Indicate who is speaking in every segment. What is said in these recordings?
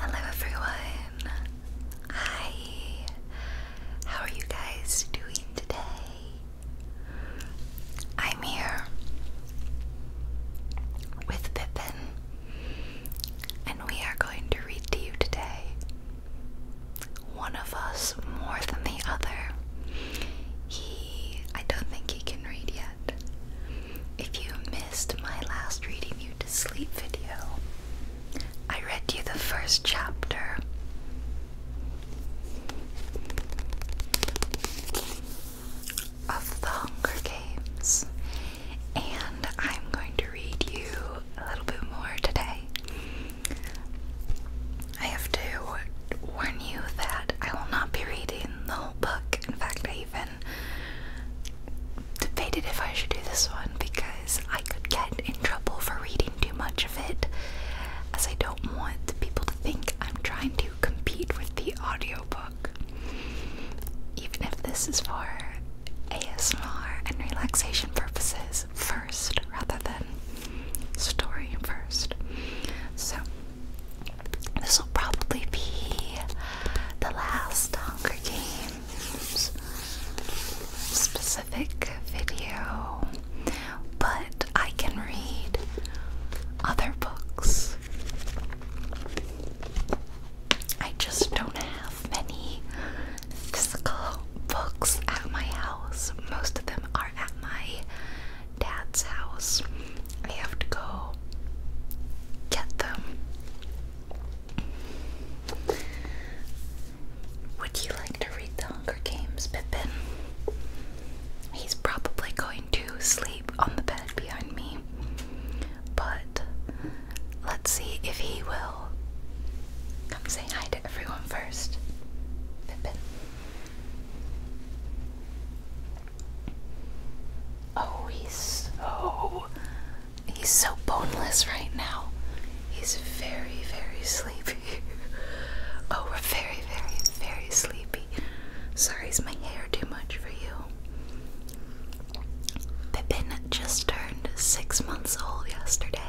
Speaker 1: Hello everyone. Hi. How are you guys doing today? I'm here with Pippin and we are going to read to you today. One of us more than the other. He I don't think he can read yet. If you missed my last reading you to sleep video, I read you the first chapter. Of the Hunger Games, and I'm going to read you a little bit more today. I have to warn you that I will not be reading the whole book. In fact, even even debated if I should do this one because I could get in trouble for reading too much of it, as I don't want people to think I'm trying to compete with the audiobook. Even if this is for ASMR and relaxation purposes first rather than story first. So, this will probably be the last Hunger Games specific video, but I can read other books. I just don't have many physical books at my house. Most of them are at my dad's house. I have to go get them. Would you like to read The Hunger Games, Pippin? He's probably going to sleep on the bed behind me, but let's see if he will. Come say hi to everyone first, Pippin. Oh, he's so he's so boneless right now. He's very, very sleepy. oh, we're very, very, very sleepy. Sorry, is my hair too much for you? Pippin just turned six months old yesterday.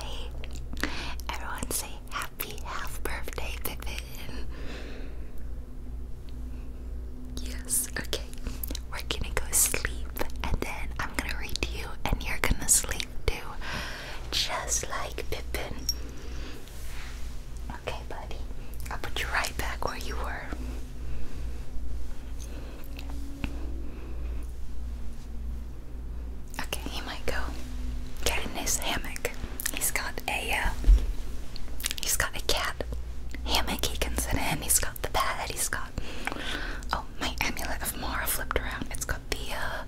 Speaker 1: Everyone say happy half birthday, Pippin. Yes, okay we're gonna go sleep and then I'm gonna read to you and you're gonna sleep too. Just like Pippin. Okay, buddy. I'll put you right back where you were. Okay, he might go get in his hammock. He's got a uh, he's got a cat hammock he can sit in. He's got the bed. He's got oh my amulet of Mara flipped around. It's got the uh,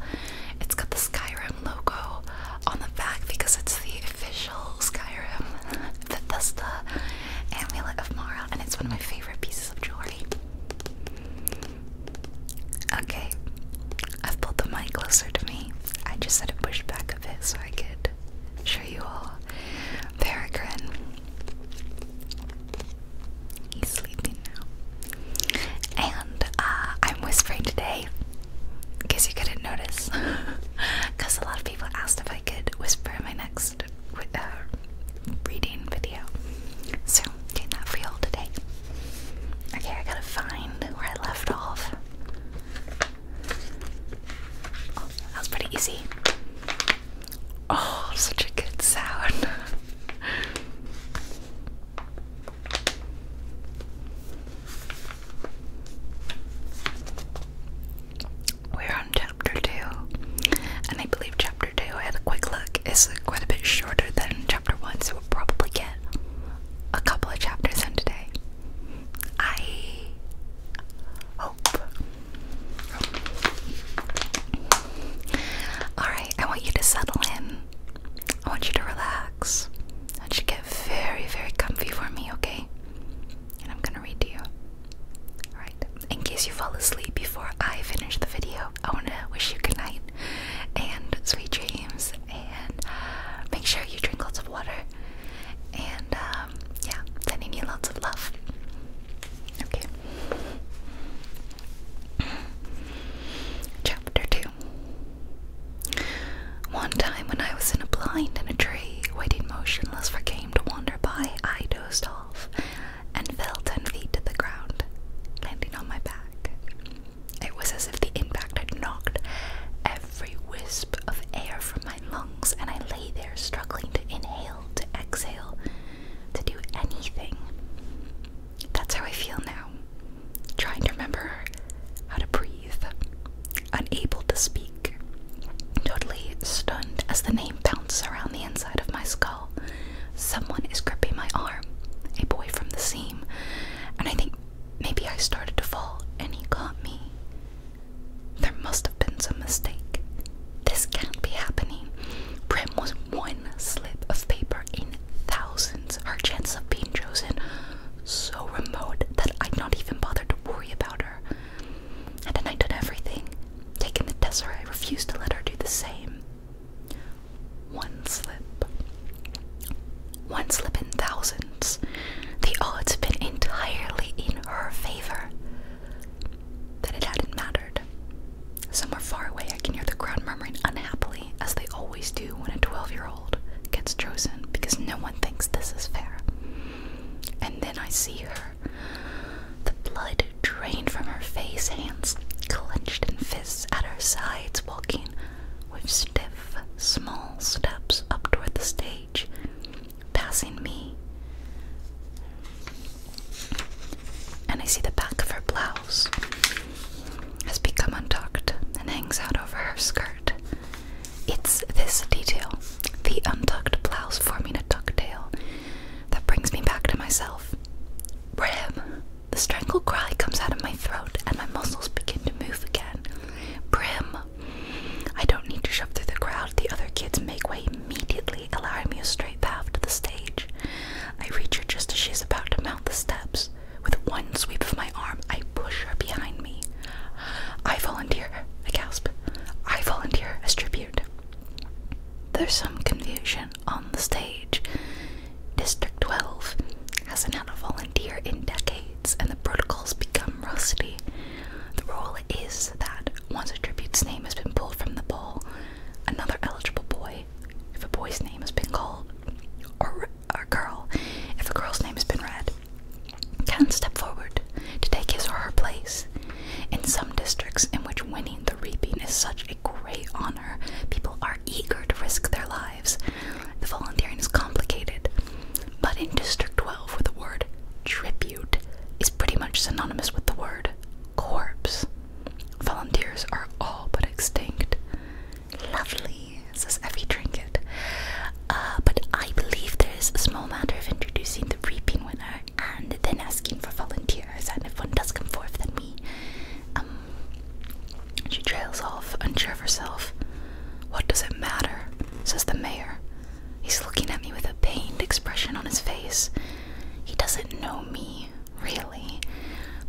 Speaker 1: it's got the Skyrim logo on the back because it's the official Skyrim Bethesda amulet of Mara, and it's one of my favorite pieces of jewelry. Okay, I've pulled the mic closer to me. I just had to push back a bit so I could I'm you all. Peregrine. He's sleeping now. And uh, I'm whispering today, in you couldn't notice, because a lot of people asked if I could whisper in my next uh, reading video. So, doing that for you all today. Okay, I gotta find where I left off that was pretty easy. Oh, such a good sound. We're on chapter 2, and I believe chapter 2, had a quick look, is quite a bit shorter than chapter 1, so we'll probably get a couple of chapters in today. I Alright, I want you to settle in. I want you to relax. I want you to get very, very comfy for me, okay? And I'm gonna read to you. Alright, in case you fall asleep before I finish the video, I wanna wish you good night and sweet dreams. And make sure you drink lots of water. And uh, um, yeah, sending you lots of love. Okay. Chapter 2 One time when I was in a blind in a tree, waiting motionless for game to wander by, I dozed off and fell 10 feet to the ground, landing on my back. It was as if the impact had knocked every wisp of air from my lungs, and I lay there struggling to inhale, to exhale, to do anything. That's how I feel now. Trying to remember how to breathe, unable to speak, totally stunned as the name bounces around the inside of my skull. Someone is gripping my arm, a boy from the seam, and I think maybe I started to fall and he caught me. There must have been some mistake. This can't be happening. Prim was one slip of paper in thousands. Her chance of being chosen so remote that I'd not even bother to worry about her. And then I did everything. Taking the test, I refused to let her do the same. One slip. One slip in thousands. The odds have been entirely in her favor that it hadn't mattered. Somewhere far away, I can hear the crowd murmuring unhappily, as they always do when a 12 year old gets chosen because no one thinks this is fair. And then I see her. The blood drained from her face, hands clenched in fists at her sides, walking with stiff, small steps up toward the stage passing me. And I see the back of her blouse has become untucked and hangs out over her skirt. It's this detail, the untucked blouse forming a tucktail, that brings me back to myself. Brim! The strangled cry comes out of my throat and my muscles begin to move again. Brim, I don't need to shove through the crowd. The other kids make way immediately, allowing me a straight path to the stage. I reach her just as she is about to mount the steps. With one sweep of my arm, I push her behind me. I volunteer, I gasp. I volunteer as tribute. There's some confusion on the stage. District 12 hasn't had a volunteer in decades, and the protocols become rusty. The rule is that once a tribute's name has been pulled from the poll, another eligible boy, if a boy's name has been called, or a girl, if a girl's name has been read, can step forward to take his or her place. In some districts in which winning the reaping is such a great honor, people are eager to risk their lives. The volunteering is complicated, but in District 12, with the word tribute is pretty much synonymous with the word corpse. Volunteers are all but extinct. Lovely, says Effie Trinket. Uh, but I believe there is a small matter of introducing the reaping winner and then asking for volunteers, and if one does come forth, then we. Um, she trails off, unsure of herself. What does it matter? says the mayor. He's looking at me with a pained expression on his face. He doesn't know me, really,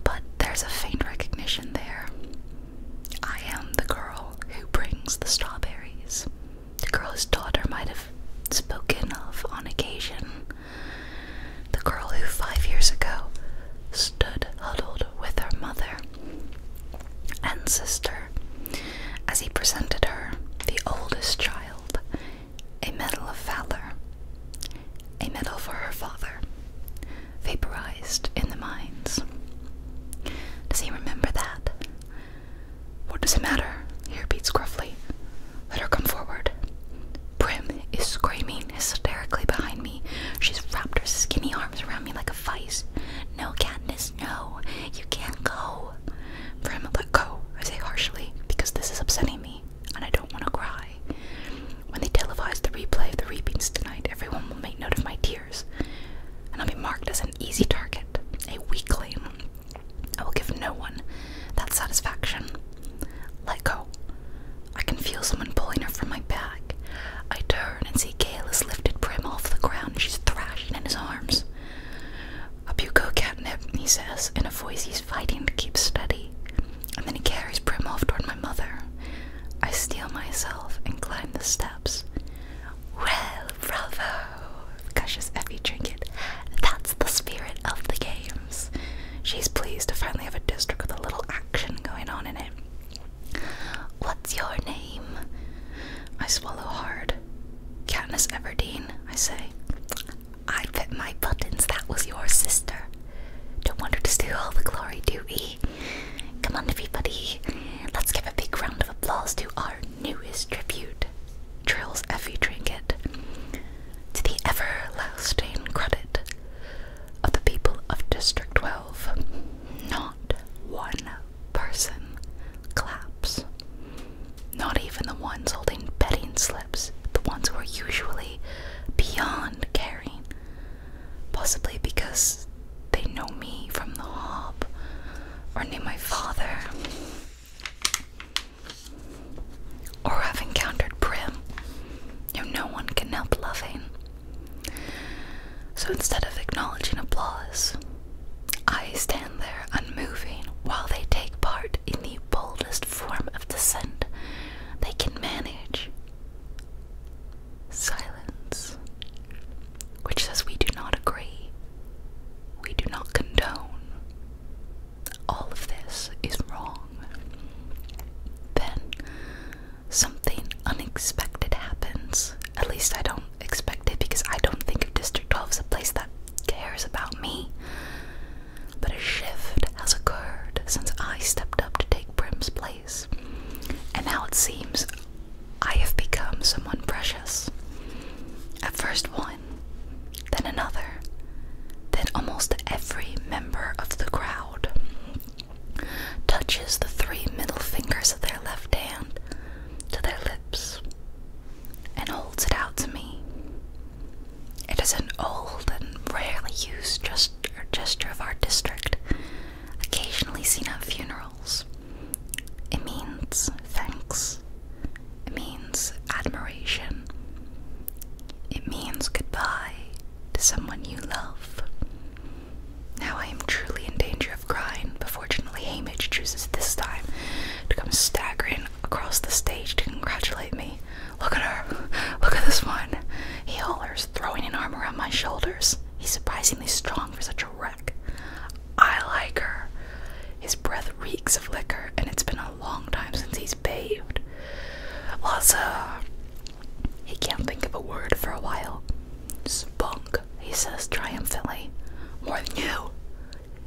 Speaker 1: but there's a faint recognition there. I am the girl who brings the strawberries. The girl his daughter might have spoken of on occasion. The girl who five years ago stood huddled with her mother and sister as he presented her, the oldest child a Medal of Valor, a medal for her father, vaporized in the mines. Does he remember that? What does it matter? He repeats gruffly. Let her come forward. Prim is screaming hysterically behind me. She's wrapped her skinny arms around me like a vice. No, Katniss, no. You can't go. For let go, I say harshly, because this is upsetting me, and I don't want to cry. When they televised the replay of the reapings tonight, everyone will make note of my tears, and I'll be marked as an easy target, a weakling. I will give no one that satisfaction. Let go. I can feel someone pulling her from my back. I turn and see Gale has lifted Prim off the ground. and She's thrashing in his arms. A you go, catnip, he says, in a voice he's fighting to keep steady. And then he carries Prim off toward my mother. I steel myself and climb the steps. Well, bravo, gushes Effie Trinket. That's the spirit of the games. She's pleased to finally have a district with a little action going on in it. What's your name? I swallow hard. Would Everdeen, I say, I bet my buttons that was your sister. Don't want to steal all the glory, do we? Come on, everybody. Let's give a big round of applause to our newest tribute, Trills Effie Trinket, to the everlasting credit of the people of District 12. Not one person claps. Not even the ones holding betting slips, the ones who are usually beyond caring. Possibly because they know me from the hop, or knew my father. Or have encountered Prim, whom no one can help loving. So instead of acknowledging applause, I stand there unmoving while they take part in the boldest form of dissent, they can manage. Silence, which says we do not agree, we do not condone. All of this is wrong. Then something unexpected happens. At least I don't expect it because I don't think of District 12 as a place that cares about me. But a shift has occurred since I stepped up to take Prim's place, and now it seems I have become someone precious. At first one, then another, then almost every member of the crowd touches the three middle fingers of their left hand to their lips and holds it out to me. It is an old and rarely used gesture of our district, occasionally seen at funerals. It means thanks. It means admiration. It means goodbye to someone you love. Now I am truly in danger of crying, but fortunately Hamish chooses this time to come staggering across the stage to congratulate me. Look at her. Look at this one. He hollers, throwing an arm around my shoulders. He's surprisingly strong for such a wreck. I like her. His breath reeks of liquor, and it's been a long time since he's bathed. Lots He can't think of a word for a while. Spunk, he says triumphantly. More than you,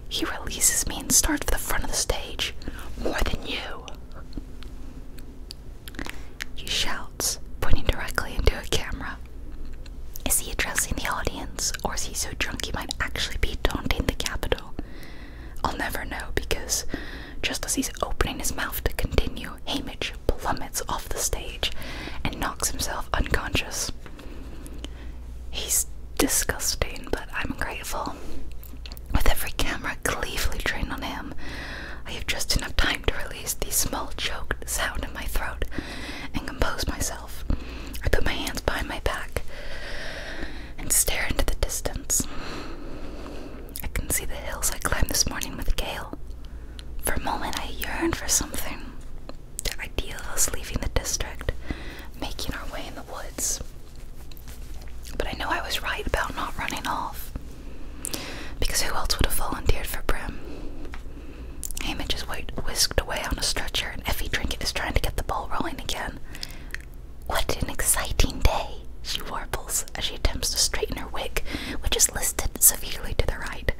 Speaker 1: he releases me and starts for the front of the stage, more than you. He shouts, pointing directly into a camera. Is he addressing the audience, or is he so drunk he might actually be taunting the capital? I'll never know because just as he's opening his mouth to continue, Hamish plummets off the stage and knocks himself unconscious. He's disgusting, but I'm grateful. With every camera gleefully trained on him, I have just enough time to release the small choked sound in my throat and compose myself. I put my hands behind my back and stare into the distance. I can see the hills I climbed this morning with Gail. For a moment, I yearn for something. The ideal of us leaving the district, making our way in the woods. But I know I was right about not running off. Because who else would have volunteered for Brim? Hamish is whisked away on a stretcher, and Effie Trinket is trying to get the ball rolling again. What an exciting day, she warbles as she attempts to straighten her wig, which is listed severely to the right.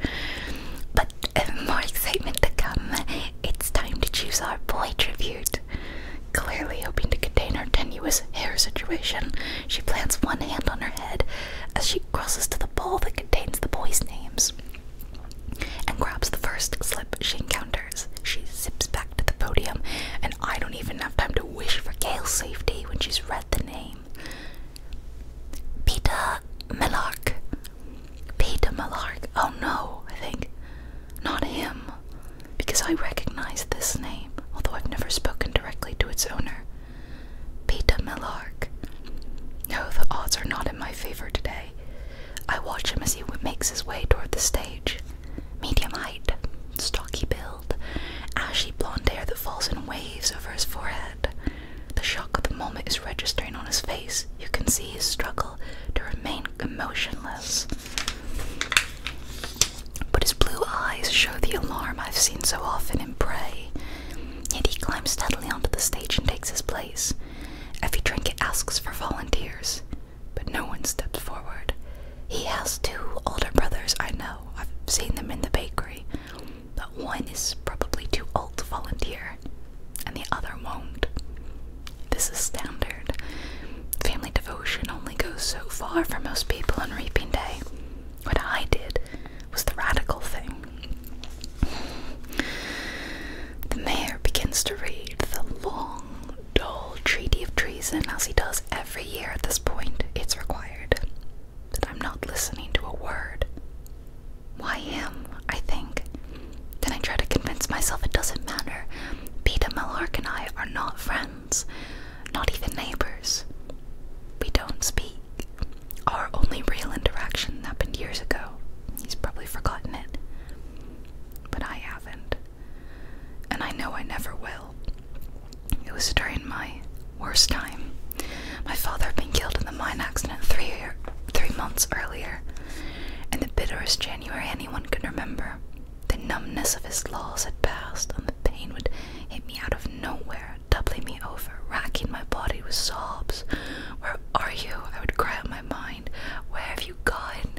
Speaker 1: But um, more excitement to come. It's time to choose our boy tribute. Clearly hoping to contain her tenuous hair situation, she plants one hand on her head as she crosses to the bowl that contains the boys' names and grabs the first slip she encounters. She zips back to the podium, and I don't even have time to wish for Gale's safety when she's read the name. Peter Millar. Peter Millar. Oh no, I think. Not him, because I recognize this name, although I've never spoken directly to its owner. Peter Millark. No, the odds are not in my favor today. I watch him as he makes his way toward the stage. Medium height, stocky build, ashy blonde hair that falls in waves over his forehead. The shock of the moment is registering on his face. You can see his struggle to remain emotionless but his blue eyes show the alarm I've seen so often in Prey. Yet he climbs steadily onto the stage and takes his place. Effie trinket asks for volunteers, but no one steps forward. He has two older brothers, I know. I've seen them in the bakery. But one is probably too old to volunteer, and the other won't. This is standard. Family devotion only goes so far for most people on Reaping Day. What I did was the radical thing. The mayor begins to read the long, dull treaty of treason as he does every year at this point. It's required. But I'm not listening to a word. Why him? I think. Then I try to convince myself it doesn't matter. Peter Malark and I are not friends, not even neighbors. We don't speak. Our only real interaction happened years ago. He's probably forgotten it. But I haven't. And I know I never will. It was during my worst time. My father had been killed in the mine accident three months earlier, and the bitterest January anyone could remember. The numbness of his loss had passed, and the pain would hit me out of nowhere, doubling me over, racking my body with sobs. Where are you? I would cry out in my mind. Where have you gone?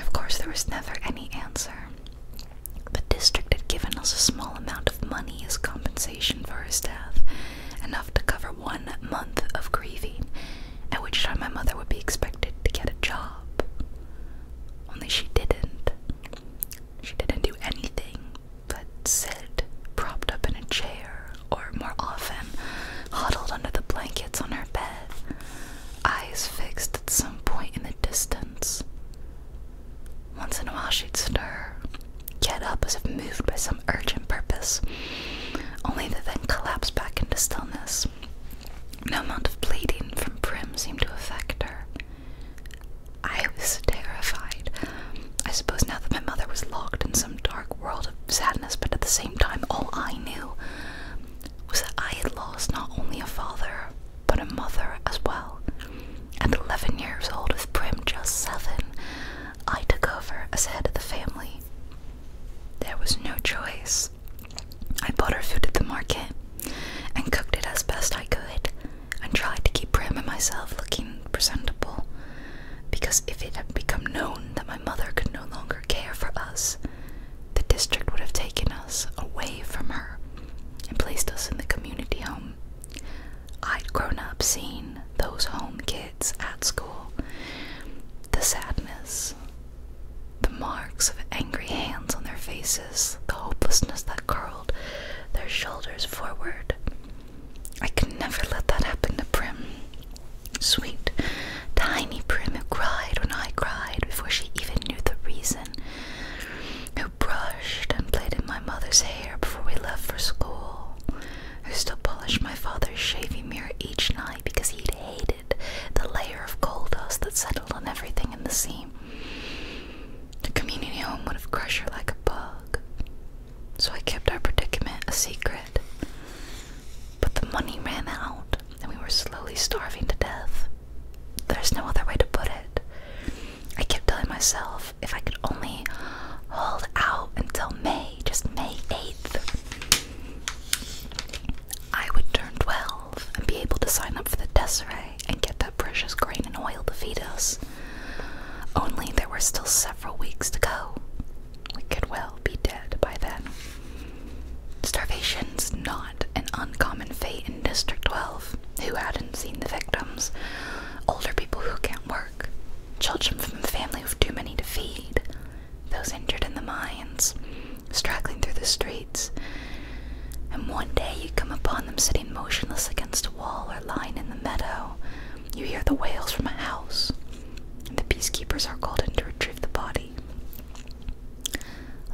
Speaker 1: Of course, there was never any answer. The district had given us a small amount of money as compensation for his death, enough to cover one month of grieving, at which time my mother would be expected to get a job. Only she didn't. She didn't do anything but sit propped up in a chair, or more often, huddled under the blankets on her bed, eyes fixed at some point in the distance. Once in a while, she'd stir, get up as if moved by some urgent purpose, only to then collapse back into stillness. No amount of bleeding from Prim seemed to affect her. I was terrified. I suppose now that my mother was locked in some dark world of sadness, but at the same time, all I knew was that I had lost not only a father, but a mother as well. At 11 years old, with Prim just 7, I took over as head of the family. There was no choice. I bought her food at the market and cooked it as best I could and tried to keep Prim and myself looking presentable because if it had become known that my mother could no longer care for us, the district would have taken us away from her and placed us in the community home. I'd grown up seeing those home kids at school. The sadness the marks of angry hands on their faces, the hopelessness that curled their shoulders forward. I could never let that happen to Prim. Sweet, tiny Prim who cried when I cried before she even knew the reason, who brushed and played in my mother's hair before we left for school, who still polished my father's shaving mirror each night because he'd hate the layer of coal dust that settled on everything in the sea. The community home would have crushed her like a bug. So I kept our predicament a secret. But the money ran out, and we were slowly starving to death. There's no other way to put it. I kept telling myself if I could only hold out until May, just May 8th. I would turn 12 and be able to sign up for the Desiree and get that precious grain and oil to feed us. Only there were still several weeks to go. We could well be dead by then. Starvation's not an uncommon fate in District 12. Who hadn't seen the victims? Older people who can't work, children from families with too many to feed, those injured in the mines, straggling through the streets. And one day you come upon them sitting motionless against a wall or lying in the meadow. You hear the wails from a house, and the peacekeepers are called in to retrieve the body.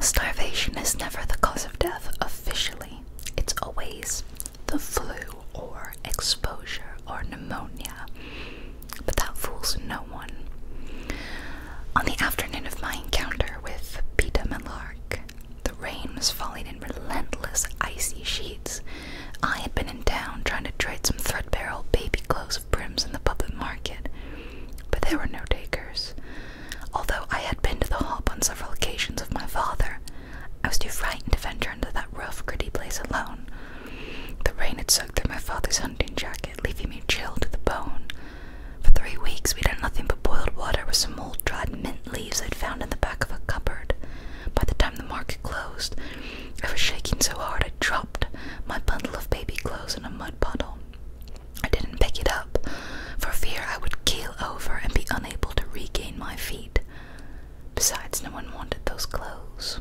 Speaker 1: Starvation is never the cause of death officially, it's always the flu or exposure or pneumonia but that fools no one. On the afternoon of my encounter with Peter Melark, the rain was falling in relentless, icy sheets. I had been in town trying to trade some threadbare old baby clothes of brims in the public market, but there were no takers. Although I had been to the hop on several occasions with my father, I was too frightened to venture into that rough, gritty place alone, the rain had soaked through my father's hunting jacket, leaving me chilled to the bone. For three weeks, we'd had nothing but boiled water with some old dried mint leaves I'd found in the back of a cupboard. By the time the market closed, I was shaking so hard I dropped my bundle of baby clothes in a mud puddle. I didn't pick it up, for fear I would keel over and be unable to regain my feet. Besides, no one wanted those clothes.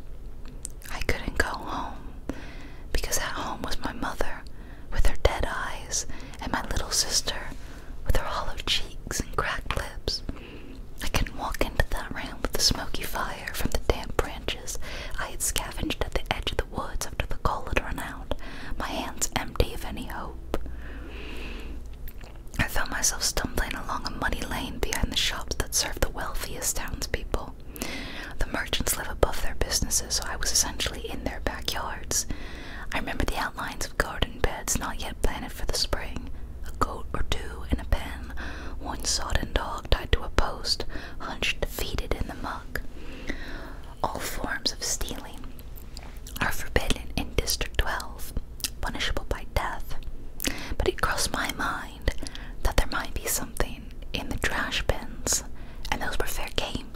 Speaker 1: I couldn't go home because at home was my mother with her dead eyes and my little sister with her hollow cheeks and cracked lips. I couldn't walk into that room with the smoky fire from the damp branches I had scavenged at the edge of the woods after the coal had run out, my hands empty of any hope. I found myself stumbling along a muddy lane behind the shops that served the wealthiest townspeople. The merchants live above their businesses, so I was essentially in their backyards. I remember the outlines of garden beds not yet planted for the spring, a goat or two in a pen, one sodden dog tied to a post, hunched defeated in the muck. All forms of stealing are forbidden in District 12, punishable by death. But it crossed my mind that there might be something in the trash bins, and those were fair game.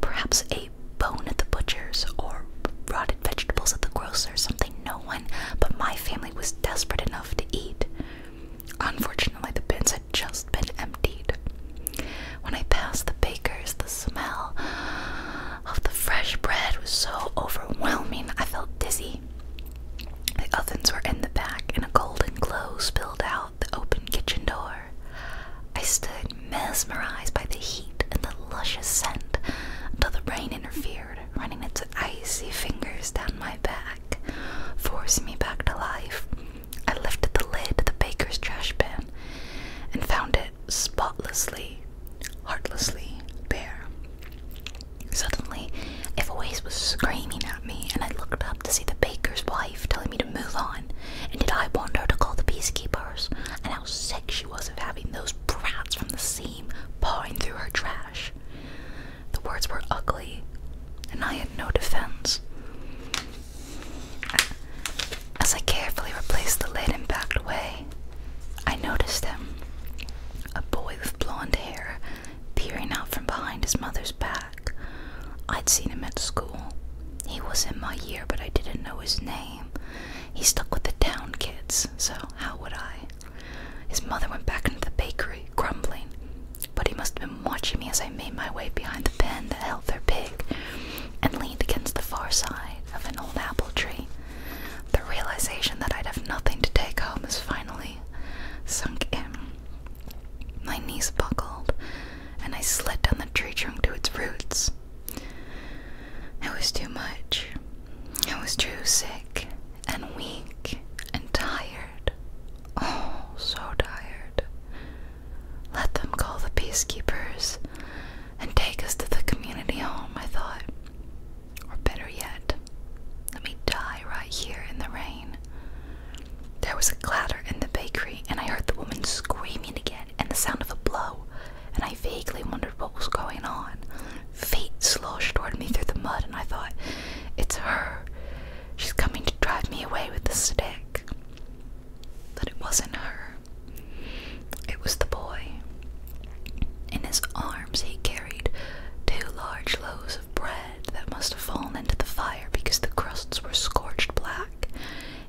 Speaker 1: Perhaps a bone at the butcher's or rotted vegetables at the grocers something no one but my family was desperate enough to eat. Unfortunately, the bins had just been emptied. When I passed the baker's, the smell of the fresh bread was so overwhelming I felt dizzy. The ovens were in the back, and a golden glow spilled out the open kitchen door. I stood mesmerized by the heat and the luscious scent until the rain interfered, running its icy fingers down my back, forcing me back to life. I lifted the lid to the baker's trash bin and found it spotlessly, heartlessly bare. Suddenly, a voice was screaming at me, and I looked up to see the baker's wife telling me to move on, and did I want her to call the peacekeepers? And how sick she was of having those brats from the seam pawing through her trash. The words were ugly, and I had no defense. As I carefully replaced the lid and backed away, I noticed him, a boy with blonde hair, peering out from behind his mother's back. I'd seen him at school. He was in my year, but I didn't know his name. He stuck with the town kids, so how would I? His mother went back into the bakery, grumbling, but he must have been watching me as I made my way behind the pen that held their pig and leaned against the far side of an old apple tree. The realization that I'd have nothing to take home has finally sunk in. My knees buckled, and I slid down the tree trunk to its roots. It was too much. I was too sick and weak and tired. Oh, so tired. Let them call the peacekeepers and take us to the community home, I thought. Or better yet, let me die right here in the rain. There was a clatter in the bakery, and I heard the woman screaming again and the sound of a blow, and I vaguely wondered what was going on. Fate sloshed toward me through the mud, and I thought, it's her. She's coming to drive me away with the stick. But it wasn't her. It was the boy. In his arms, he carried two large loaves of bread that must have fallen into the fire because the crusts were scorched black.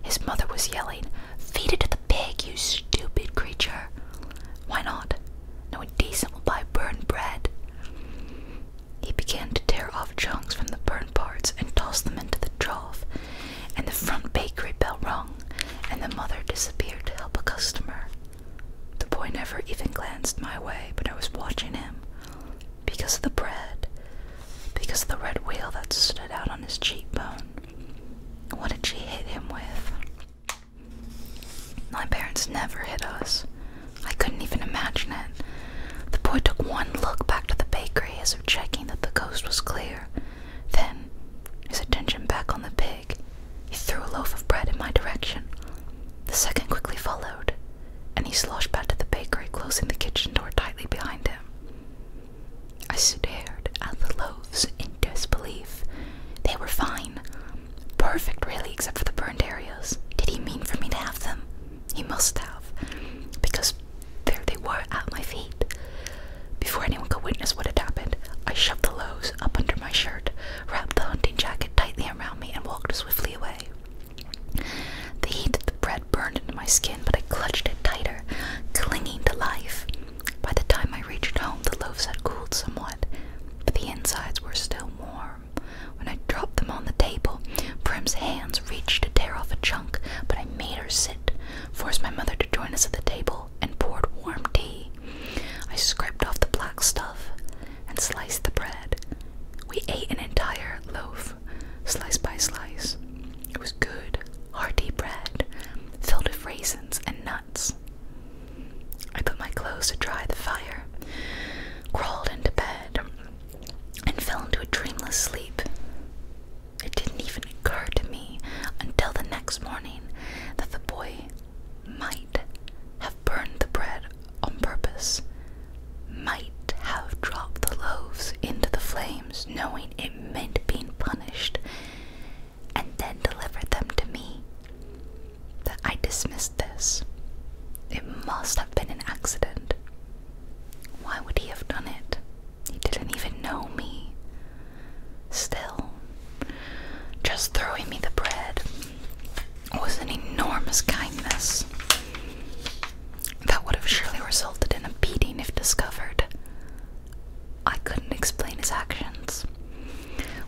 Speaker 1: His mother was yelling, Feed it to the pig, you stupid creature! Why not? No one decent will buy burned bread. He began to tear off chunks from the burnt parts and toss them into the trough, and the front bakery bell rung, and the mother disappeared to help a customer. The boy never even glanced my way, but I was watching him because of the bread, because of the red wheel that stood out on his cheekbone. What did she hit him with? My parents never hit us. I couldn't even imagine it. The boy took one look back to the bakery as if checking that the coast was clear. Then, his attention back on the pig, he threw a loaf of bread in my direction. The second quickly followed, and he sloshed back to the bakery, closing the kitchen door tightly behind him. I stared at the loaves in disbelief. They were fine. Perfect, really, except for the burned areas. Did he mean for me to have them? He must have, because there they were at my feet. Before anyone could witness what had happened, I shoved the loaves up under my shirt, wrapped the hunting jacket tightly around me, and walked swiftly away. The heat of the bread burned into my skin, but I clutched it tighter, clinging to life. By the time I reached home, the loaves had cooled somewhat, but the insides were still warm. When I dropped them on the table, Prim's hands reached to tear off a chunk, but I made her sit, forced my mother to join us at the table, and poured warm tea. I scraped off the black stuff and sliced the bread. We ate an entire loaf slice by slice. It was good, hearty bread, filled with raisins and nuts. I put my clothes to dry the fire, crawled into bed, and fell into a dreamless sleep. It didn't even occur to me until the next morning that the boy might have burned the bread on purpose might have dropped the loaves into the flames, knowing it meant being punished, and then delivered them to me. That I dismissed this. It must have been an accident. Why would he have done it? He didn't even know me. Still, just throwing me the bread was an enormous kindness. That would have surely resulted in a beating if discovered. I couldn't explain his actions.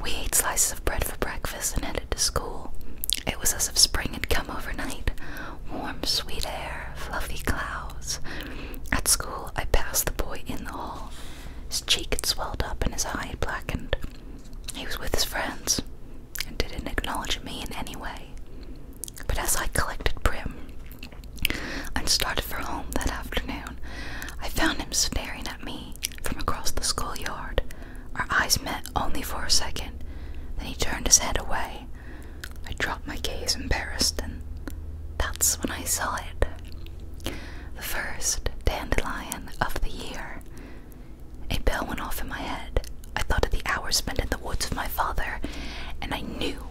Speaker 1: We ate slices of bread for breakfast and headed to school. It was as if spring had come overnight warm, sweet air, fluffy clouds. At school, I passed the boy in the hall. His cheek had swelled up and his eye blackened. He was with his friends and didn't acknowledge me in any way. But as I collected Prim and started for home that afternoon, I found him staring at me from across the schoolyard. Our eyes met only for a second, then he turned his head away. I dropped my gaze, embarrassed, and that's when I saw it. The first dandelion of the year. A bell went off in my head. I thought of the hours spent in the woods with my father, and I knew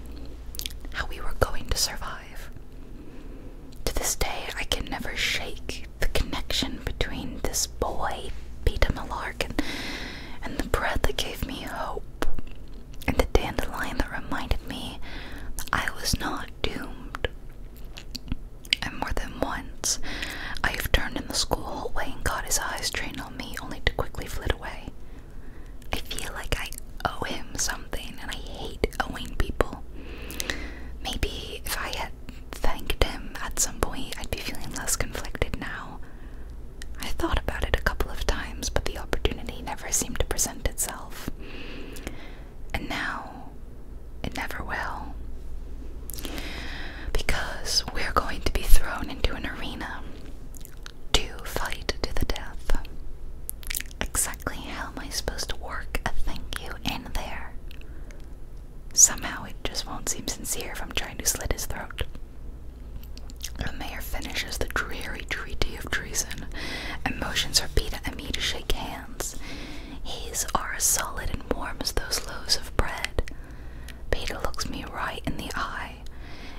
Speaker 1: how we were going to survive. To this day, I can never shake the connection between this boy, Peter Malarkin, and the breath that gave me hope, and the dandelion that reminded me I was not doomed. And more than once, I have turned in the school hallway and got his eyes trained me only to quickly flit away. I feel like I owe him something and I hate owing people. Maybe if I had thanked him at some point, I'd be feeling less conflicted now. I thought about it a couple of times, but the opportunity never seemed to present itself. And now, it never will because we're going to be thrown into an arena to fight to the death. Exactly how am I supposed to work a thank you in there? Somehow it just won't seem sincere if I'm trying to slit his throat. The mayor finishes the dreary treaty of treason, and motions Rapida and me to shake hands. His are as solid and warm as those loaves of bread. Peter looks me right in the eye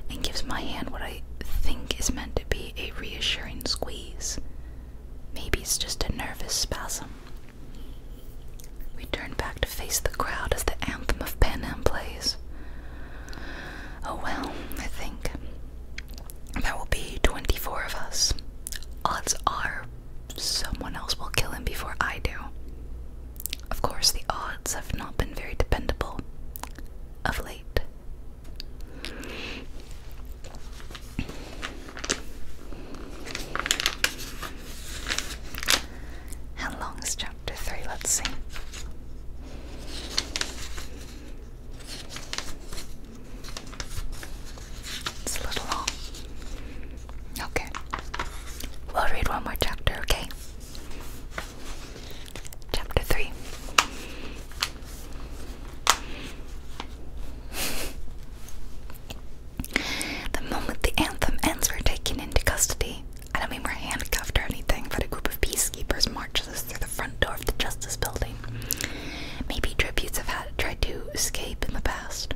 Speaker 1: and gives my hand what I think is meant to be a reassuring squeeze. Maybe it's just a nervous spasm. We turn back to face the crowd as the anthem of Pan Am plays. Oh well, I think. There will be 24 of us. Odds are someone else will kill him before I do. Of course, the odds have not been very dependable of late. How long is chapter three? Let's see. It's a little long. Okay. We'll read one more chapter, okay? Chapter 3 The moment the anthem ends, we're taken into custody. I don't mean we're handcuffed or anything, but a group of peacekeepers marches us through the front door of the Justice Building. Maybe tributes have had tried to escape in the past.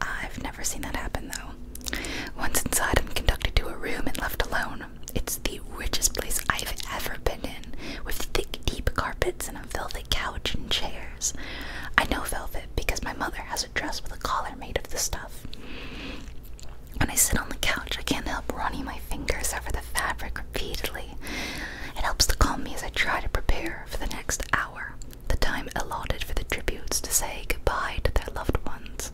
Speaker 1: I've never seen that happen though. Once inside, I'm conducted to a room and left alone. It's the richest place I've ever been in, with thick, deep carpets and a velvet couch and chairs. I know velvet because my mother has a dress with a collar made of the stuff. When I sit on the couch, I can't help running my fingers over the fabric repeatedly. It helps to calm me as I try to prepare for the next hour, the time allotted for the tributes to say goodbye to their loved ones.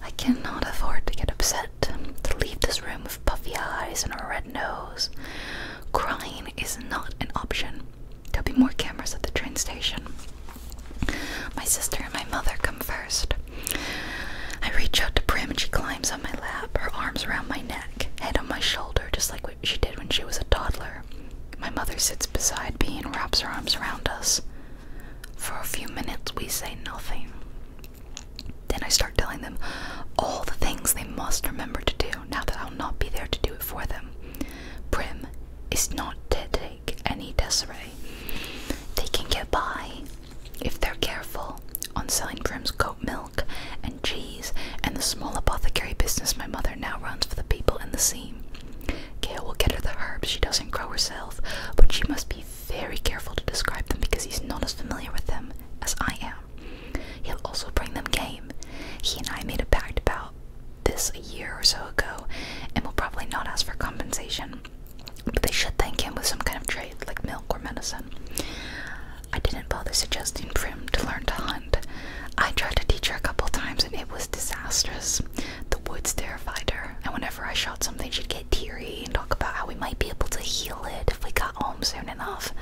Speaker 1: I cannot afford to get upset, to leave this room with puffy eyes and a red nose. Crying is not an option. There'll be more cameras at the train station. My sister and my mother come first. I reach out to Prim and she climbs on my lap, her arms around my neck, head on my shoulder, just like what she did when she was a toddler. My mother sits beside me and wraps her arms around us. For a few minutes, we say nothing. Then I start telling them all the things they must remember to do now that I'll not be there to do it for them. Prim is not to take any disarray. They can get by if they're careful on selling Prim's goat milk and cheese and the small apothecary business my mother now runs for the people in the seam. Gail will get her the herbs she doesn't grow herself, but she must be very careful to describe them because he's not as familiar with them as I am. He'll also bring them game. He and I made a pact about this a year or so ago and will probably not ask for compensation, but they should thank him with some kind of trade like milk or medicine. I didn't bother suggesting Prim to learn to hunt. I tried to teach her a couple times and it was disastrous the woods terrified her, and whenever I shot something, she'd get teary and talk about how we might be able to heal it if we got home soon enough.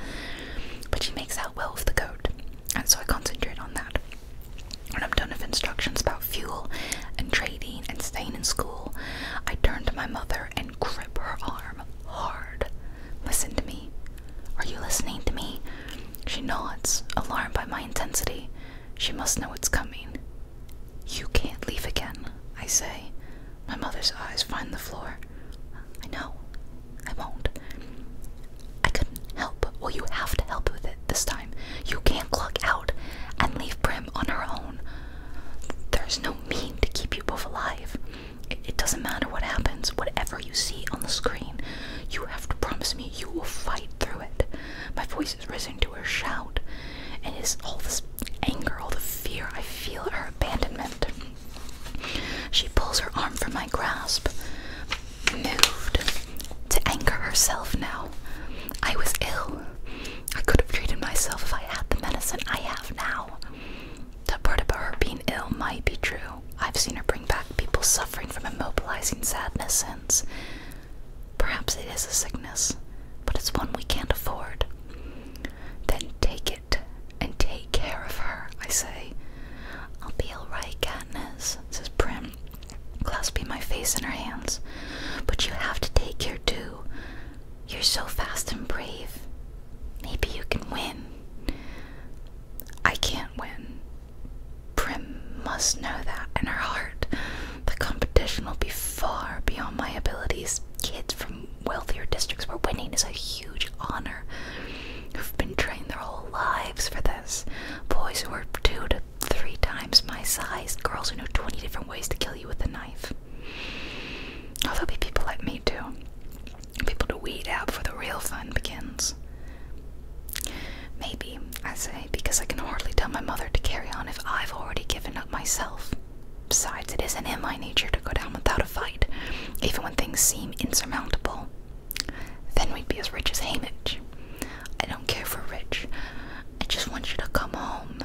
Speaker 1: But she makes out well with the goat, and so I concentrate on that. When I'm done with instructions about fuel and trading and staying in school, I turn to my mother and grip her arm hard. Listen to me. Are you listening to me? She nods, alarmed by my intensity. She must know what's coming. You can't leave again, I say. My mother's eyes find the floor. I know. I won't. I couldn't help. Well, you have to help with it this time. You can't clock out and leave Prim on her own. There's no mean to keep you both alive. it doesn't matter what happens, whatever you see on the screen, you have to promise me you will fight through it. My voice voice has risen to her shout, and is all this anger, all the fear. I feel her abandonment. She pulls her arm from my grasp, moved to anger herself now. I was ill. I could have treated myself if I had the medicine I have now. That part about her being ill might be true. I've seen her bring back people suffering from immobilizing sadness since. Perhaps it is a sickness, but it's one we can't afford. Then take it and take care of her, I say. I'll be all right, Katniss, says Prim, clasping my face in her hands. But you have to take care too. You're so fast and brave. Maybe you can win. I can't win. Prim must know that in her heart. The competition will be far beyond my abilities. Kids from wealthier districts where winning is a huge honor, who've been training their whole lives for this. Boys who are two to three times my size, girls who know 20 different ways to kill you with a knife. Oh, there'll be people like me too. People to weed out before the real fun begins. Maybe I say, because I can hardly tell my mother to carry on if I've already given up myself. Besides, it isn't in my nature to go down without a fight, even when things seem insurmountable. Then we'd be as rich as Hamish. I don't care for rich. I just want you to come home.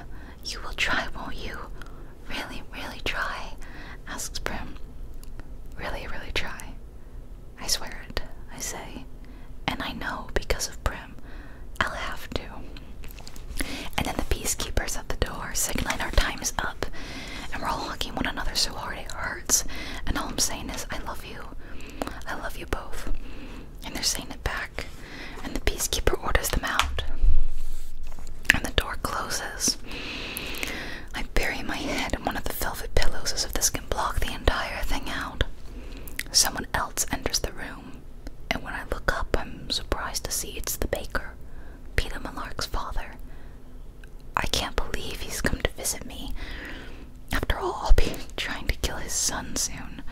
Speaker 1: You will try, won't you? Really, really try? asks Prim. Really, really try. I swear it, I say. And I know because of Prim. I'll have to. And then the peacekeepers at the door signaling our time is up, and we're all hugging one another so hard it hurts. And all I'm saying is, I love you. I love you both. And they're saying it back. And the peacekeeper orders them out. And the door closes. I bury my head in one of the velvet pillows as if this can block the entire thing out. Someone else enters the room and when I look up, I'm surprised to see it's the baker, Peter Malark's father. I can't believe he's come to visit me. After all, I'll be trying to kill his son soon.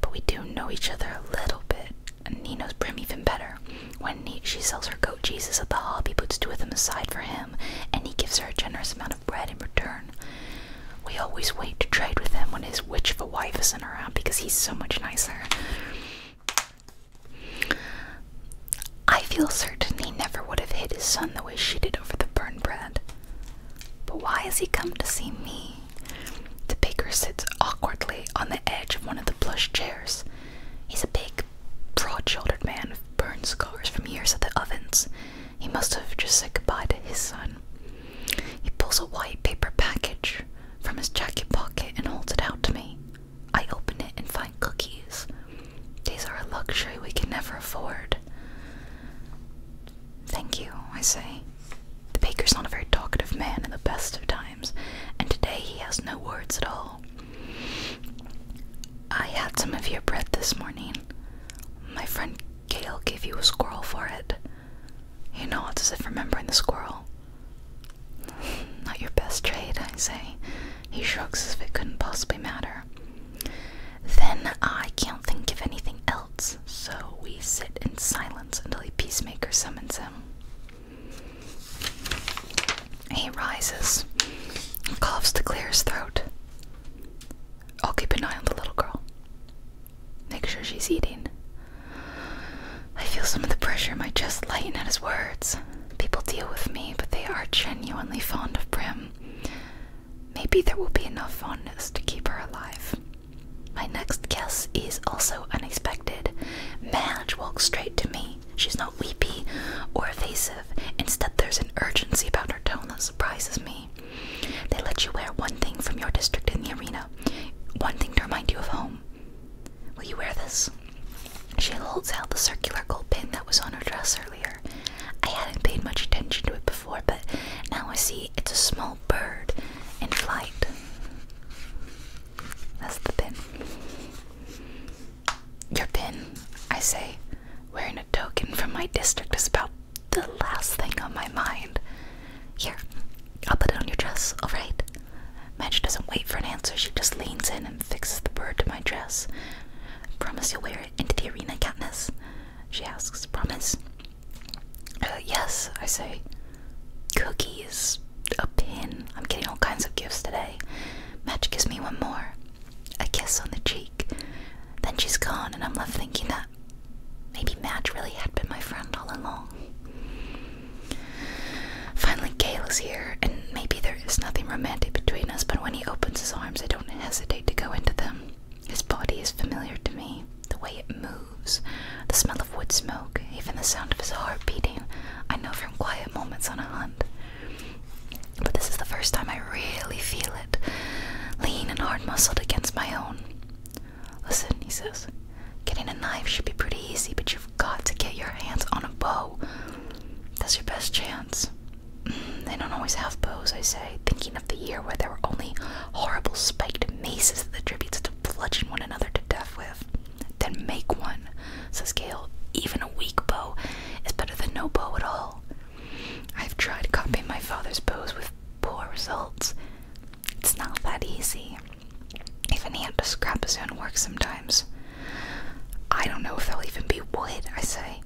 Speaker 1: But we do know each other a little bit, and he knows Brim even better. When he, she sells her goat Jesus at the he puts two of them aside for him, and he gives her a generous amount of bread in return. We always wait to trade with him when his witch of a wife isn't around because he's so much nicer. I feel certain he never would have hit his son the way she did over the burn bread. But why has he come to see me? The baker sits awkwardly on the edge of one of the plush chairs. He's a big, broad shouldered man with burn scars from years at the ovens. He must have just said goodbye to his son. He pulls a white paper package from his jacket pocket and holds it out to me. I open it and find cookies. These are a luxury we can never afford. Thank you, I say. The baker's not a very talkative man in the best of times, and today he has no words at all. I had some of your bread this morning. My friend Gale gave you a squirrel for it. You know, it's as if remembering the squirrel. Not your best trade, I say. He shrugs as if it couldn't possibly matter. Then I can't think of anything else, so we sit in silence until a peacemaker summons him. He rises, coughs to clear his throat. I'll keep an eye on the little girl. Make sure she's eating. I feel some of the pressure in my chest lighten at his words. People deal with me, but they are genuinely fond of Prim. Maybe there will be enough fondness to keep her alive. My next guess is also unexpected. Madge walks straight to me. She's not weepy or evasive. Instead, there's an urgency about her tone that surprises me. They let you wear one thing from your district in the arena, one thing to remind you of home. Will you wear this? She holds out the circular gold pin that was on her dress earlier. I hadn't paid much attention to it before, but now I see it's a small bird in flight. That's the pin. Your pin, I say. Wearing a token from my district is about the last thing on my mind. Here, I'll put it on your dress, alright? Madge doesn't wait for an answer, she just leans in and fixes the bird to my dress. Promise you'll wear it into the arena, Katniss? She asks. Promise? Uh, yes, I say. Cookies, a pin. I'm getting all kinds of gifts today. Madge gives me one more. A kiss on the cheek. Then she's gone, and I'm left thinking that maybe Madge really had been my friend all along. Finally, Gale is here, and maybe there is nothing romantic between us, but when he opens his arms, I don't hesitate to go into them. His body is familiar to me, the way it moves, the smell of wood smoke, even the sound of his heart beating. I know from quiet moments on a hunt. But this is the first time I really feel it, lean and hard muscled against my own. Listen, he says, getting a knife should be pretty easy, but you've got to get your hands on a bow. That's your best chance. Mm, they don't always have bows, I say, thinking of the year where there were only horrible spiked maces that the tributes had to bludgeon one another to death with. Then make one, says Gale. Even a weak bow is better than no bow at all. I've tried copying my father's bows with poor results. It's not that easy. Even he had to scrap his own work sometimes. I don't know if there'll even be wood, I say.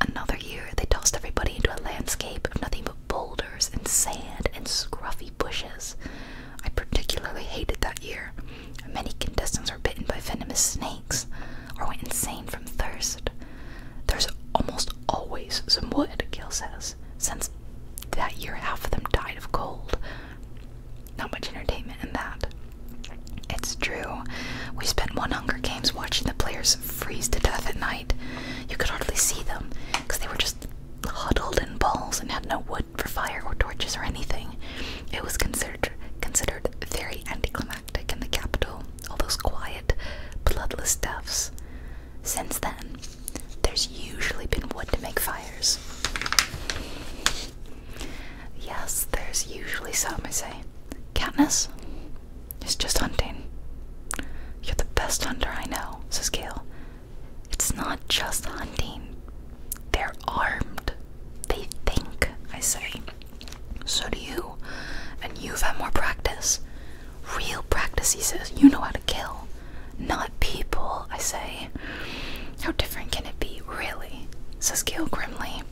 Speaker 1: Another year, they tossed everybody into a landscape of nothing but boulders and sand and scruffy bushes. I particularly hated that year. Many contestants were bitten by venomous snakes or went insane from thirst. There's almost always some wood, Gil says, since that year, half of them died of cold. Not much entertainment in that. It's true. We spent one Hunger Games watching the players freeze to death at night. You could hardly see them because they were just huddled in balls and had no wood for fire or torches or anything. It was considered considered very anticlimactic in the capital. All those quiet, bloodless deaths. Since then, there's usually been wood to make fires. Yes, there's usually some, I say. Katniss? It's just hunting. You're the best hunter I know, says Gale. It's not just hunting. They're armed. They think, I say. So do you. And you've had more practice. Real practice, he says. You know how to kill, not people, I say. How different can it be, really? says Gail grimly.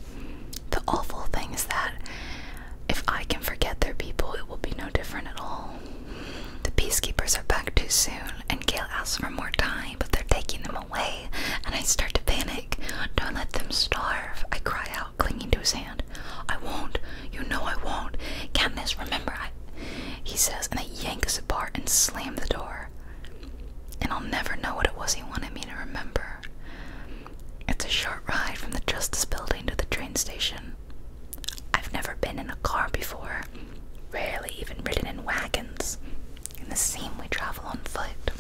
Speaker 1: The awful thing is that if I can forget their people, it will be no different at all. The peacekeepers are back too soon, and Gail asks for more time, but they're taking them away, and I start to panic. Don't let them starve, I cry out, clinging to his hand. I won't. You know I won't. Can't this remember, I he says, and they yank us apart and slam the door. And I'll never know what it was he wanted me to remember. It's a short ride from the Justice Building to the train station. I've never been in a car before, rarely even ridden in wagons. In the same we travel on foot.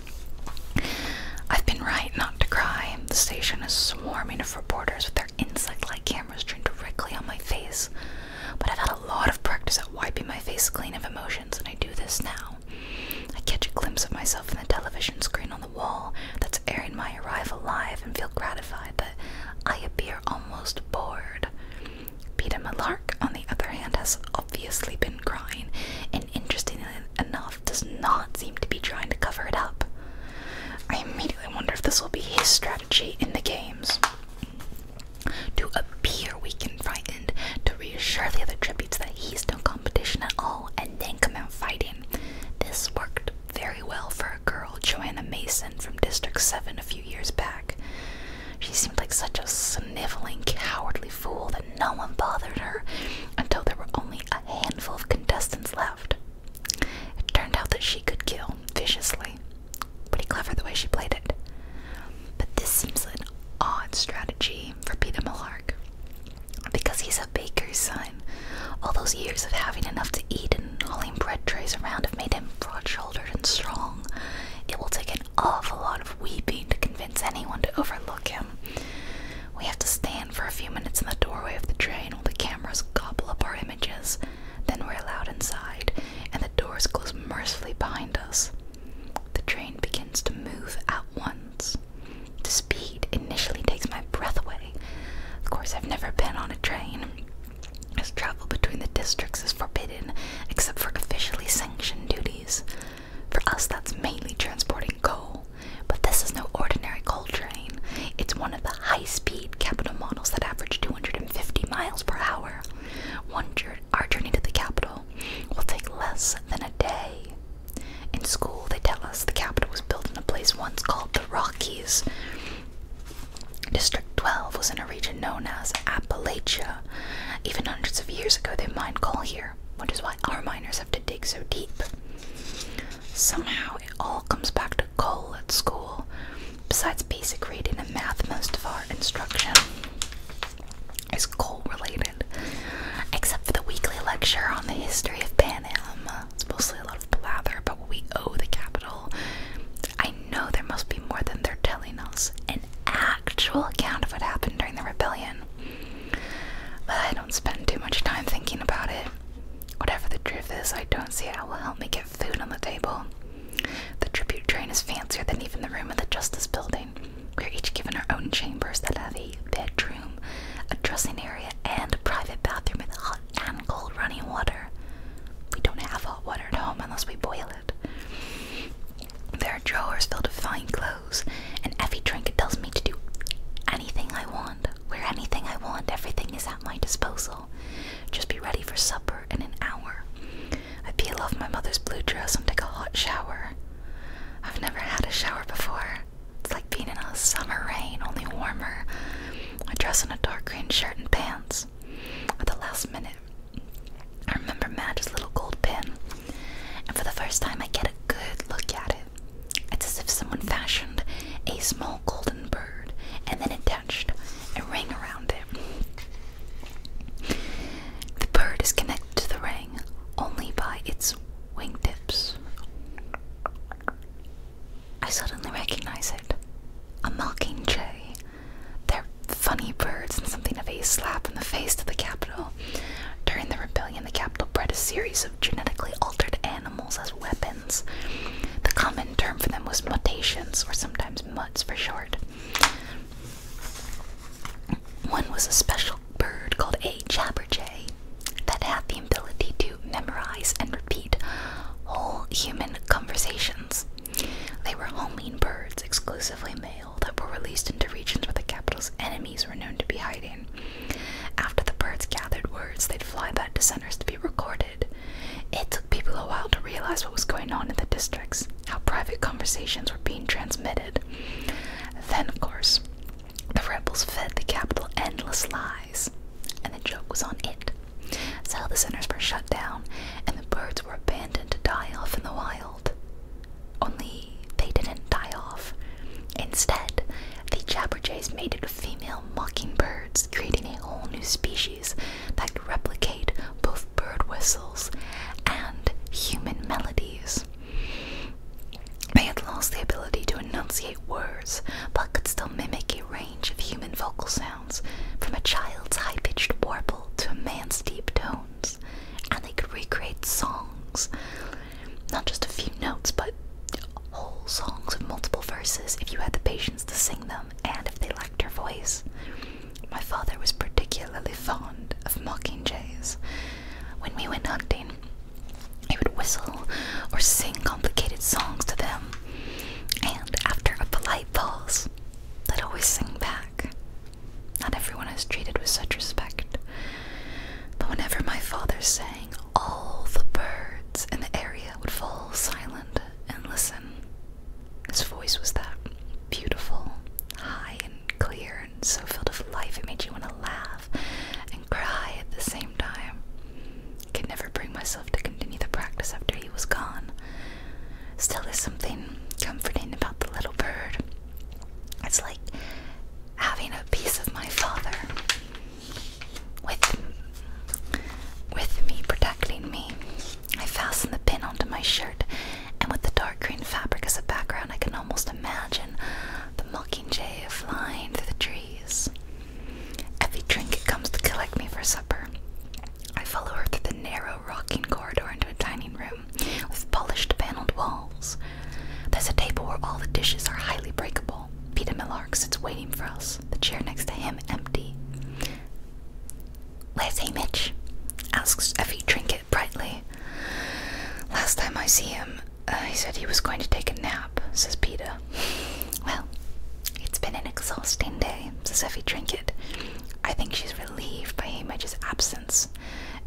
Speaker 1: I've been right not to cry. The station is swarming of reporters with their insect like cameras trained directly on my face. But I've had a lot of practice at wiping my face clean of emotions, and I do this now. I catch a glimpse of myself in the television screen on the wall that's airing my arrival live and feel gratified that I appear almost bored. Peter Malark, on the other hand, has obviously been crying, and interestingly enough, does not seem to be trying to cover it up. I immediately wonder if this will be his strategy strategy in the games. To appear weak and frightened, to reassure the other tributes that he's no competition at all, and then come out fighting. This worked very well for a girl, Joanna Mason from District 7 a few years back. She seemed like such a sniveling, cowardly fool that no one bothered her until there were only a handful of contestants left. It turned out that she could kill viciously, Pretty clever the way she played it. But this seems an odd strategy for Peter Mullark. Because he's a baker's son. All those years of having enough to eat and hauling bread trays around have made him broad shouldered and strong. It will take an awful lot of weeping to convince anyone to overlook him. We have to stand for a few minutes in the doorway of the train while the cameras gobble up our images. Then we're allowed inside, and the doors close mercifully behind us. The train begins to move at once. The speed initially takes my breath away. Of course, I've never been on a train, as travel between the districts is forbidden except for officially sanctioned duties. For us, that's mainly transporting coal, but this is no ordinary coal train. It's one of the high speed capital models that average 250 miles per hour. One jour our journey to the capital will take less than a day. In school, they tell us the capital was built in a place once called the Rockies. District 12 was in a region known as Appalachia. Even hundreds of years ago, they mined coal here, which is why our miners have to dig so deep. Somehow, it all comes back to coal at school. Besides basic reading and math, most of our instruction is coal related, except for the weekly lecture on the history of Pan Am. It's mostly a lot of blather about what we owe the capital. I know there must be more than they're telling us an actual account of what happened during the rebellion. But I don't spend too much time thinking about it. Whatever the truth is, I don't see how it will help me get food on the table. The tribute train is fancier than even the room in the Justice Building. We are each given our own chambers that have a bedroom, a dressing area, and a private bathroom with hot and cold running water. We don't have hot water at home unless we boil it. There are drawers filled with fine clothes, and Effie trinket tells me to do anything I want, wear anything I want, everything is at my disposal. Just be ready for supper in an hour. I peel off my mother's blue dress and take a hot shower. I've never had a shower before. It's like being in a summer rain, only warmer. I dress in a dark green shirt and pants. At the last minute, I remember Madge's little gold pin, and for the first time, I get a good look at it. It's as if someone fashioned a small golden bird and then it a ring around it. The bird is connected to the ring only by its wingtips. I suddenly recognize it. A mockingjay. They're funny birds and something of a slap in the face to the capital. During the rebellion, the capital bred a series of genetically altered animals as weapons. The common term for them was mutations, or sometimes sometimes for short. One was a special bird called a jabberjay that had the ability to memorize and repeat whole human conversations. They were homing birds, exclusively male, that were released into regions where the capital's enemies were known to be hiding. After the birds gathered words, they'd fly back to centers to be recorded it took people a while to realize what was going on in the districts, how private conversations were being transmitted. Then, of course, the rebels fed the capital endless lies, and the joke was on it. So the centers were shut down, and the birds were abandoned to die off in the wild. Only they didn't die off. Instead, the Jabberjays mated with female mockingbirds, creating a whole new species that could replicate both bird whistles and human melodies. They had lost the ability to enunciate words, but could still mimic a range of human vocal sounds, from a child's high pitched warble to a man's deep tones, and they could recreate songs. Not just a few notes, but whole songs with multiple verses if you had the patience to sing them and if they liked your voice. My father was particularly fond of mocking jays. When we went hunting, he would whistle or sing complicated songs to them, and after a polite pause, they'd always sing back. Not everyone is treated with such respect, but whenever my father sang, all the birds in the area would fall silent and listen. His voice was that beautiful, high and clear, and so filled with life it made you want to laugh and cry at the same time. I could never bring myself to continue the practice after he was gone. Still, there's something comforting about the little bird. It's like having a piece of my father with with me protecting me. I fasten the pin onto my shirt, and with the dark green fabric as a background, I can almost imagine the mockingjay flying through the trees. Effie Trinket comes to collect me for supper. I follow her through the narrow, rocking corridor into a dining room with polished paneled walls. There's a table where all the dishes are highly breakable. Peter Millar sits waiting for us, the chair next to him empty. Where's Hamish? asks Effie Trinket brightly. Last time I see him, uh, he said he was going to take a nap, says Peter. Well, it's been an exhausting day, says Effie Trinket. I think she's relieved by Hamish's absence,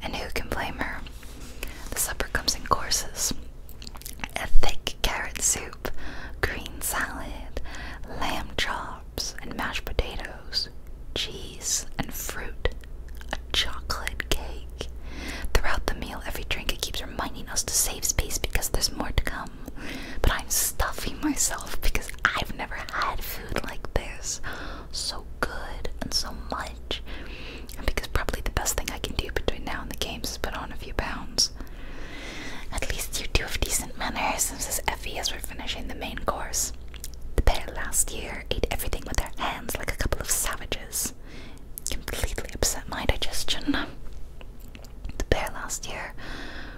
Speaker 1: and who can blame her? The supper comes in courses a thick carrot soup, green salad, lamb chop and mashed potatoes, cheese and fruit, a chocolate cake. Throughout the meal, every drink it keeps reminding us to save space because there's more to come. But I'm stuffing myself because I've never had food like this. So good and so much. And because probably the best thing I can do between now and the games is put on a few pounds. At least you two have decent manners, says Effie has we finishing the main course. The pair last year ate everything with their hands like a couple of savages. Completely upset my digestion. The pair last year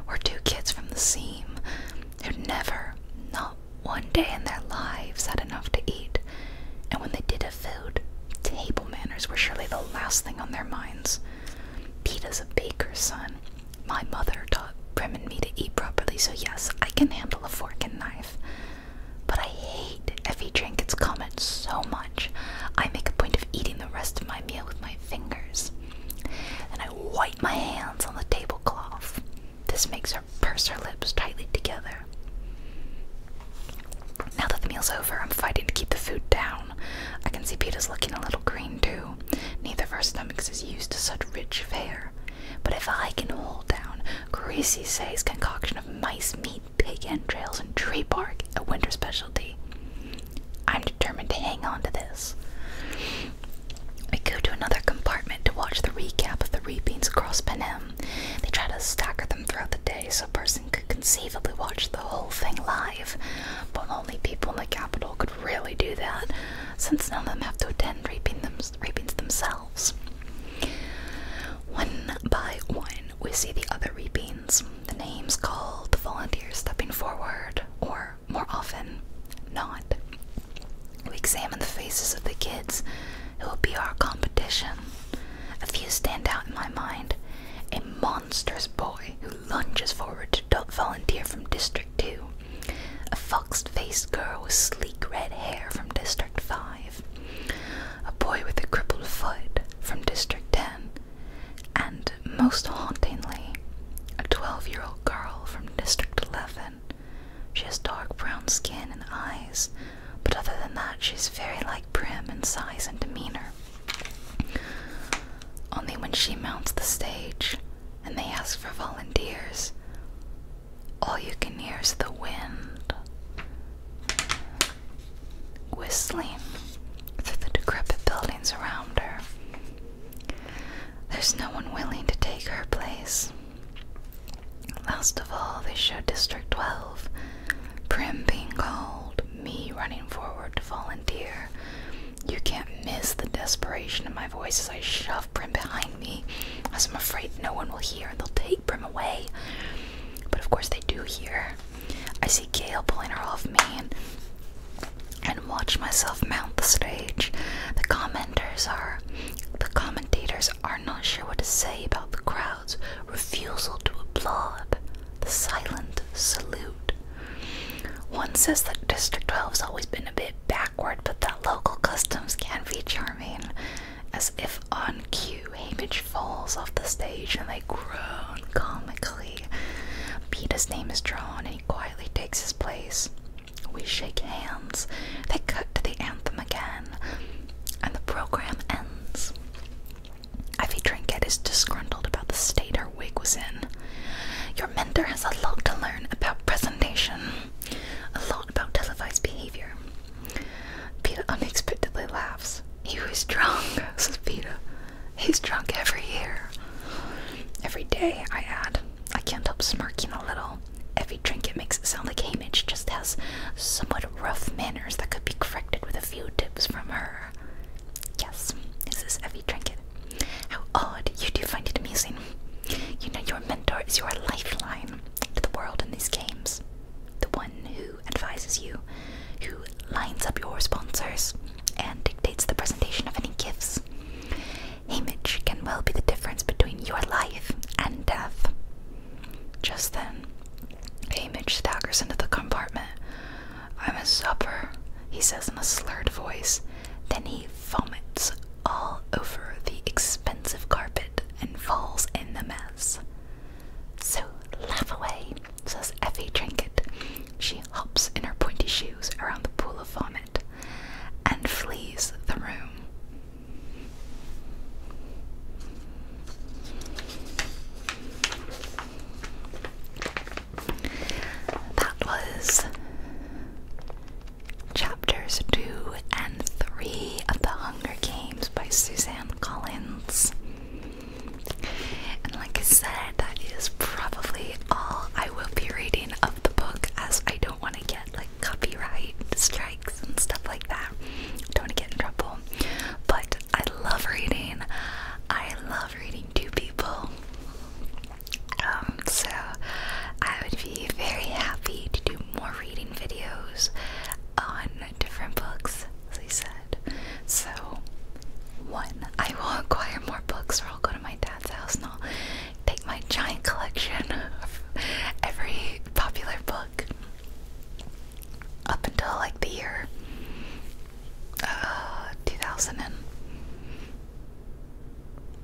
Speaker 1: were two kids from the seam who'd never, not one day in their lives, had enough to eat, and when they did have food, table manners were surely the last thing on their minds. Peter's a baker's son, my mother taught Prim and me to eat properly, so yes, I can handle a fork and knife. But I hate Effie Trinket's comment so much. I make a point of eating the rest of my meal with my fingers, and I wipe my hands on the tablecloth. This makes her purse her lips tightly together. Now that the meal's over, I'm fighting to keep the food down. I can see Peter's looking a little green too neither of our stomachs is used to such rich fare. But if I can hold down Greasy Say's concoction of mice meat, pig entrails, and tree bark, a winter specialty, I'm determined to hang on to this. We go to another compartment to watch the recap of the reapings across penem. They try to stagger them throughout the day so a person could conceivably watch the whole thing live, but only people in the capital could really do that since none of them have to attend raping themselves. One by one, we see the other rapings, the names called, the volunteers stepping forward, or more often, not. We examine the faces of the kids It will be our competition. A few stand out in my mind. A monstrous boy who lunges forward to volunteer from District 2 a fox-faced girl with sleek red hair from District 5, a boy with a crippled foot from District 10, and most hauntingly, a 12-year-old girl from District 11. She has dark brown skin and eyes, but other than that, she's very like Prim in size and demeanor. Only when she mounts the stage, and they ask for volunteers. All you can hear is the wind whistling through the decrepit buildings around her. There's no one willing to take her place. Last of all, they show District 12, Prim being called, me running forward to volunteer, you can't miss the desperation in my voice as I shove Prim behind me, as I'm afraid no one will hear and they'll take Prim away. But of course they do hear. I see Gale pulling her off me and, watch myself mount the stage. The commenters are the commentators are not sure what to say about the crowd's refusal to applaud. The silent salute. One says that District 12 has always been a bit backward, but that local customs can be charming. As if on cue, Hamish falls off the stage and they groan comically. Peter's name is drawn and he quietly takes his place. We shake hands. They cut to the anthem again, and the program ends. Ivy Trinket is disgruntled about the state her wig was in. Your mentor has a lot to learn about presentation, a lot about televised behavior. Peter unexpectedly laughs. He was drunk, says Peter. He's drunk every year. Every day, I add. I can't help smirking a little. Every drink it makes it sound like Hamish just has somewhat rough manners that could be corrected with a few tips from her. Yes, this is every trinket. How odd, you do find it amusing. You know, your mentor is your lifeline to the world in these games. The one who advises you, who lines up your sponsors, and dictates the presentation of any gifts. Hamish can well be the difference between your life and death. Just then, Hamish staggers into the compartment. I'm a supper, he says in a slurred voice. Then he vomits all over the expensive carpet and falls in the mess. So laugh away, says Effie Trinket. She hops in her pointy shoes around the pool of vomit and flees the room. That was Chapters 2 and 3 of The Hunger Games by Suzanne Collins. And like I said, that is probably all I will be reading of the book as I don't want to get like copyright strikes and stuff like that. Don't want to get in trouble. But I love reading. I love reading to people. Um, so I would be very happy to do more reading videos on different books, as said. So, one, I will acquire more books, or I'll go to my dad's house and I'll take my giant collection of every popular book up until like the year uh, 2000 and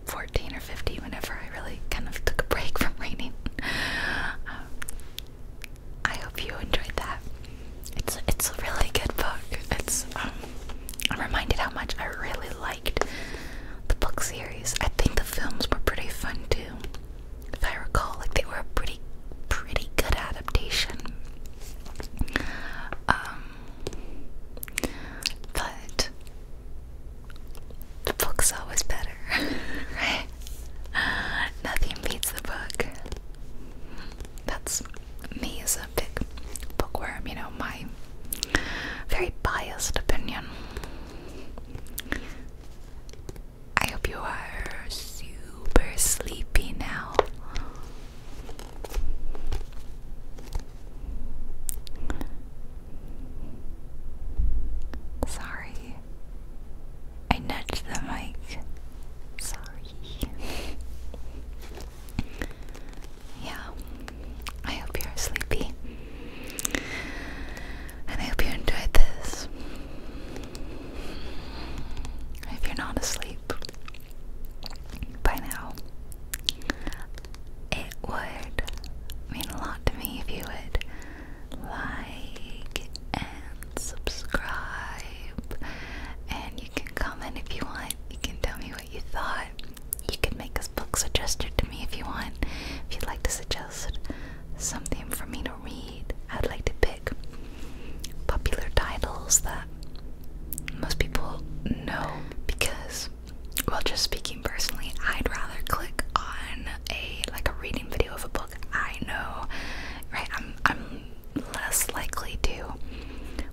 Speaker 1: 14 or 15 whenever I really kind of took a break from reading. Um, I hope you enjoyed that. It's it's a really good book. It's um, I'm reminded how much I really liked the book series. I think the films were pretty fun too, if I recall. Like they were a pretty pretty good adaptation. Um, but the book's always better, right? Nothing beats the book. That's me as a big bookworm, you know, my very biased opinion. I hope you are super sleepy now. Sorry. I nudged the mic. Sorry. yeah. I hope you're sleepy. And I hope you enjoyed this. If you're not asleep by now, it would mean a lot to me if you would like and subscribe. And you can comment if you want. You can tell me what you thought. You can make a book suggestion to me if you want. If you'd like to suggest something for me to read, I'd like to pick popular titles that most people know because well just speaking personally I'd rather click on a like a reading video of a book I know right I'm I'm less likely to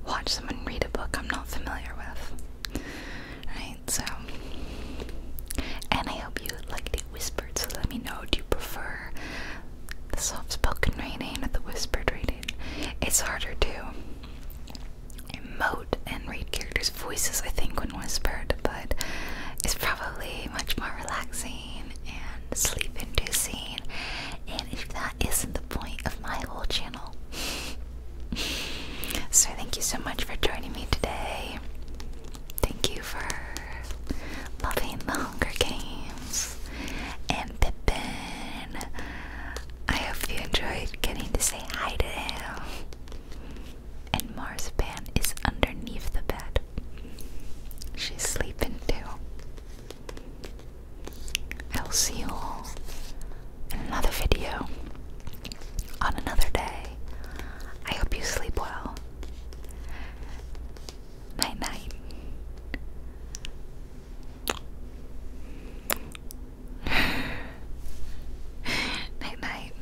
Speaker 1: watch someone read a book I'm not familiar with right so and I hope you like it whispered so let me know do you prefer the soft spoken reading or the whispered reading it's harder to emote and read characters' voices, I think, when whispered, but it's probably much more relaxing and sleep inducing. And if that isn't the point of my whole channel, so thank you so much for joining me today. Thank you for loving the Hunger Games and Pippin. I hope you enjoyed getting to say hi to him. And Mars' Marzipan is underneath the bed. She's sleeping too. I'll see you all in another video on another day. I hope you sleep well. Night night night night.